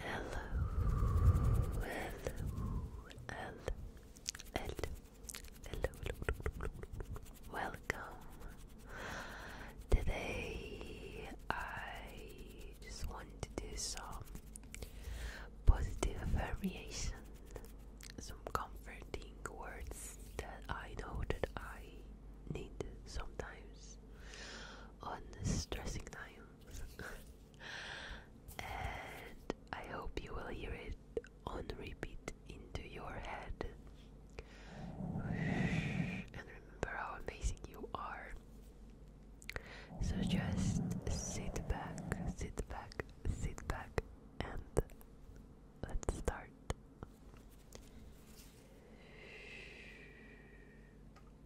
hello, hello, hello, hello, welcome. Today I just want to do some positive affirmation, some comforting words that I know that I need sometimes on stressing times. and I hope you will hear it on repeat into your head. And remember how amazing you are. So just sit back, sit back, sit back, and let's start.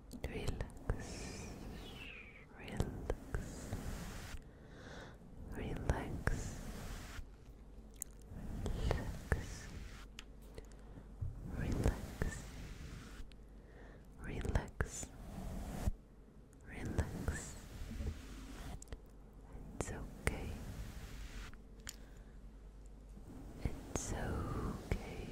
relax, relax, relax, relax, relax, relax, relax. It's okay. It's okay.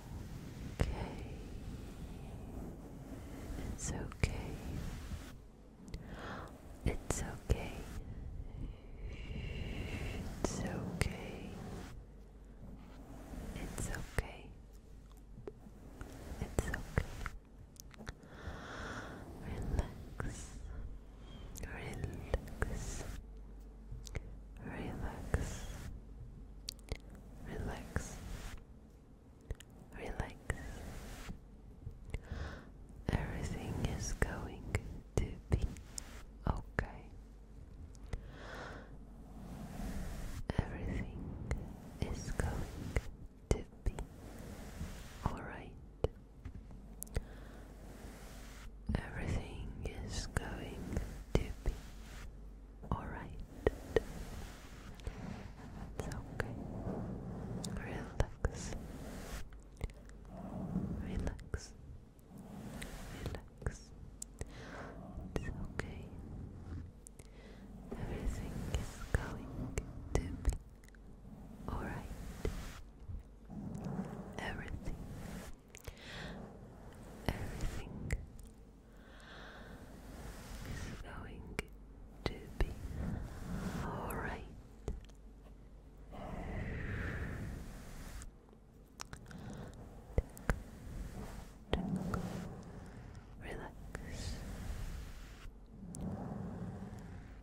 okay. It's okay. It's okay. It's okay. It's okay. It's okay. Relax. Relax. Relax. Relax. Relax. Everything is going to be okay. Everything is going to be alright. Everything is going to be alright. It's okay. Relax. Relax. Relax. It's okay. Everything is going to be alright. Everything. Everything it's going to be alright. Relax.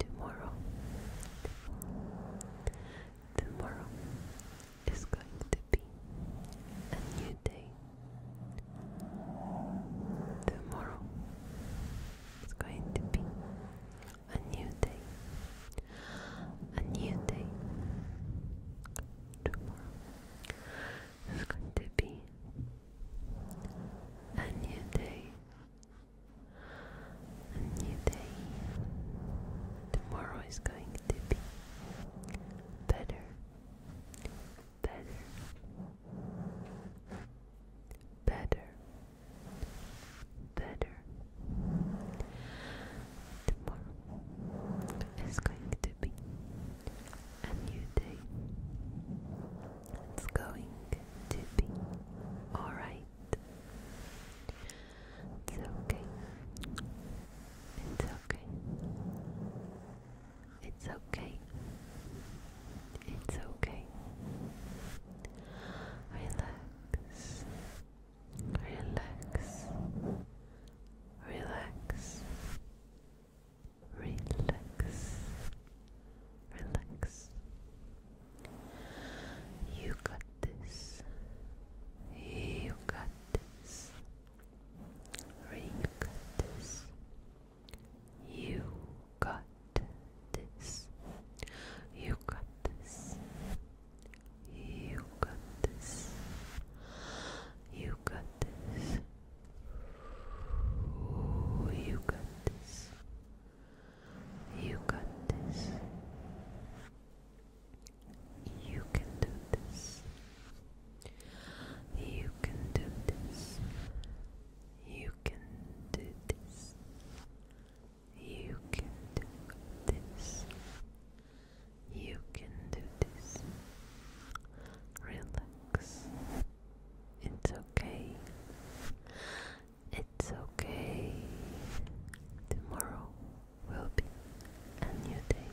Tomorrow, tomorrow is going to be a new day. Tomorrow is going to be a new day. A new day. Tomorrow is going to be a new day. A new day. Tomorrow is going to be better better, better, better. Tomorrow is going to be a new day. It's going to be alright. It's okay. It's okay. It's okay. It's okay. Relax. Relax. Relax. Relax. Relax. You got this. You got this. Ring this. You got this. You got this. You got this. You got this. you got this. You got this. You can do this. You can do this. You can do this. You can do this. You can do this. Relax. It's okay. It's okay. Tomorrow will be a new day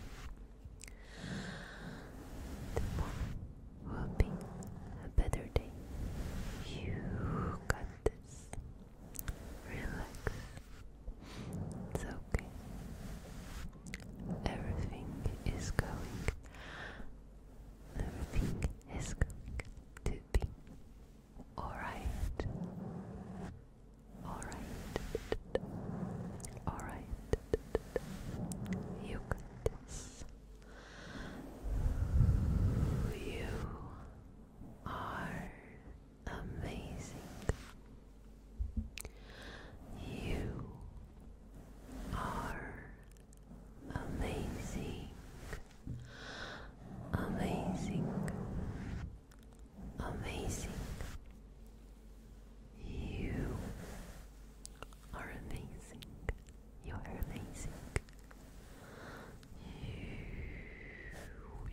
tomorrow will be a better day. You got this. Relax. It's okay. Everything is going. Everything is going to be alright. Alright. Alright. You got this. You are amazing. You are amazing. Amazing. Amazing. You are amazing. You are amazing.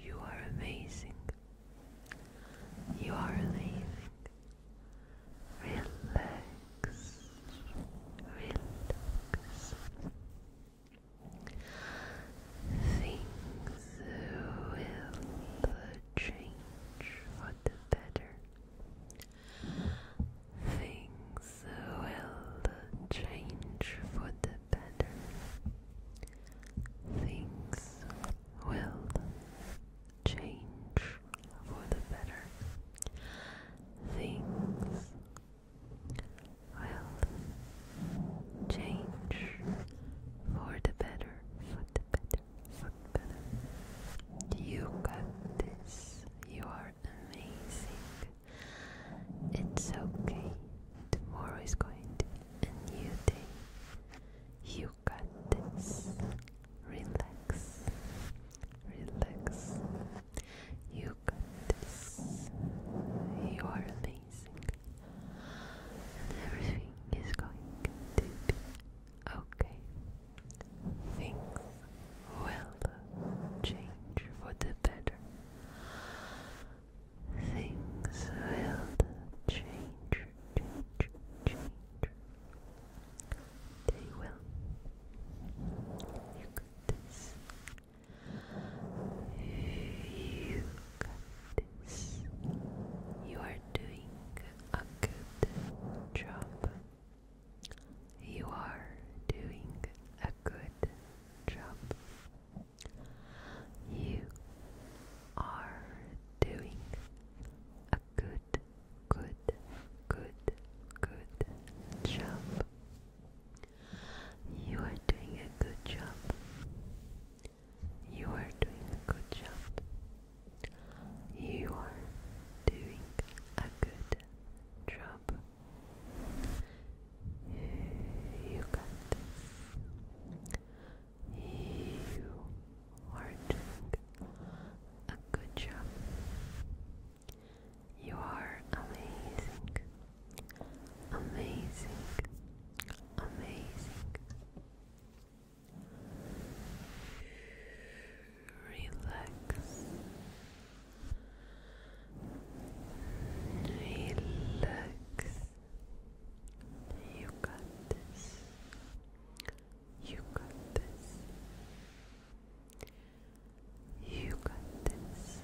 You, you are amazing. You are amazing. Relax. Relax. Things will change for the better. Things will change for the better. Things will change for the better. Things will change for the better, for the better, you got this. You are amazing. It's okay. Tomorrow is going to be a new day. You got this. Relax. Relax. You got this. You are amazing. everything is going to be Okay, things will change for the better. Things will change, change, change. They will. You got this. You got this. You are doing a good job. You are doing a good job. You are doing a good, good, good, good job. You are doing a good job. You are doing a good job. You are doing a good job. You got You are doing a good job. You are amazing. Amazing. Amazing. Relax. Relax. You got this. You got this. You got this.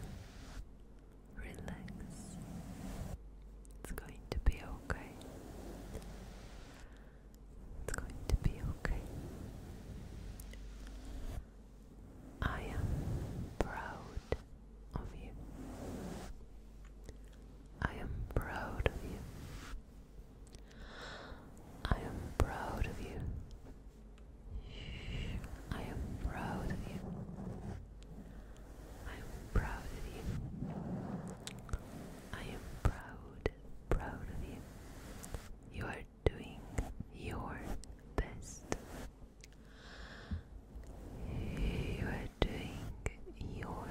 Relax. It's going to be okay. It's going to be okay. I am proud of you. I am proud of you. I am proud of you. I am proud of you. I am proud of you. I am proud proud of you. You are doing your best. You are doing your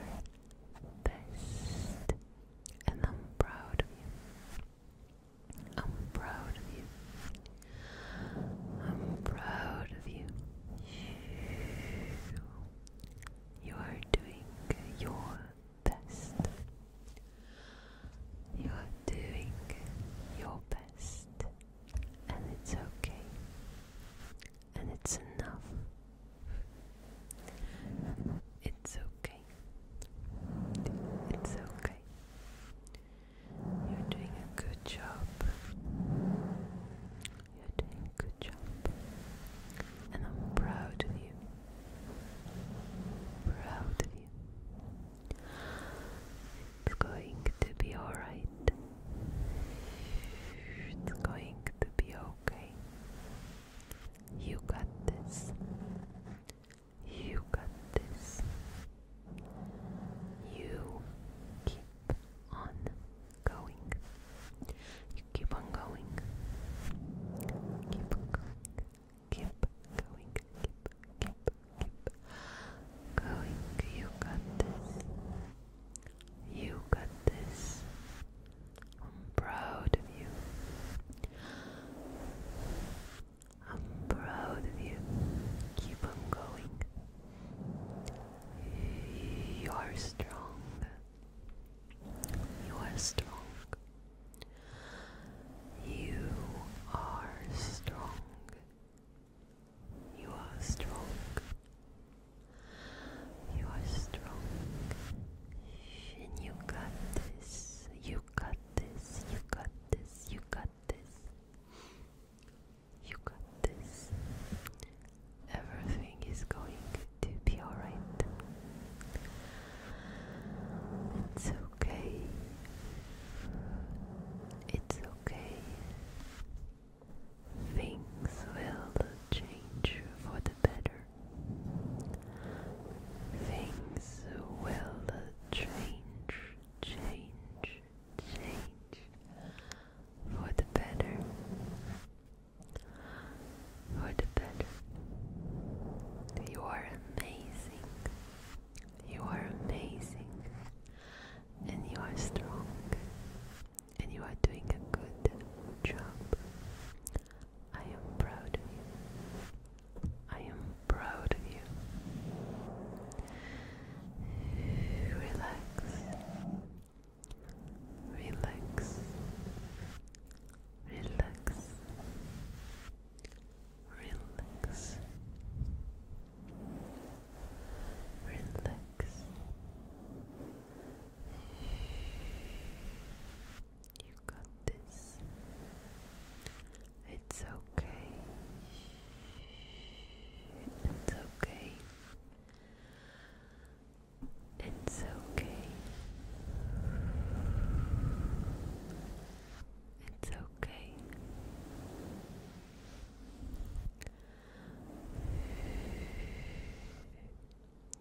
best. And I'm proud of you. I'm proud of you. I'm proud of you. You are doing your best. You are doing your best. And it's okay. And it's enough. It's okay. It's okay. You're doing a good job. You're doing a good job. And I'm proud of you. Proud of you. It's going to be alright. It's going to be okay. You got this. You got this. You keep on going keep on going. Keep going. Keep going. Keep, keep, keep going. You got this. You got this. I'm proud of you. I'm proud of you. Keep on going. You are strong. You are strong. You are strong. You are strong. You are strong. And you got this. You got this. You got this. You got this. You got this everything is going to be alright. It's okay. It's okay. Things will change for the better. Things will change, change, change for the better or the better. You are amazing. You are amazing. And you are strong. And you are doing a good job. I am proud of you. I am proud of you. Relax relax, relax, relax, relax. You got this. It's okay. It's okay. It's okay. It's okay.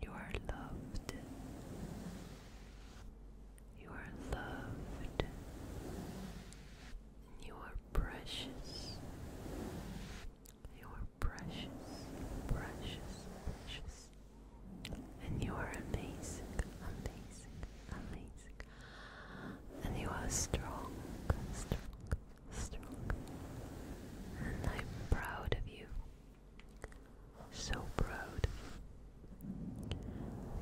You are loved. You are loved. You are precious. You are precious, precious, precious. And you are amazing, amazing, amazing. And you are strong, strong, strong. And I'm proud of you. So proud.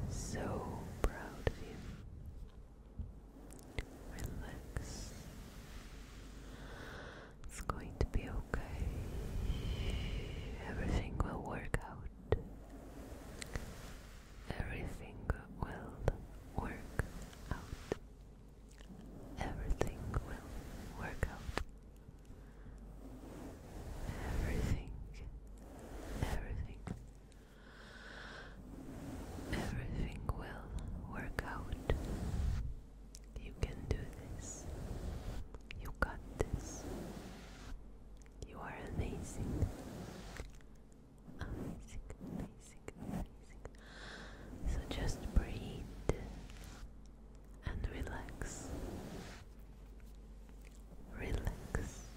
So proud of you. Relax. It's going to be okay. Everything will work out. Everything will work out. Everything will work out. Everything, everything, everything will work out. You can do this. You got this. You are amazing. Amazing, amazing, amazing. So just breathe and relax. Relax.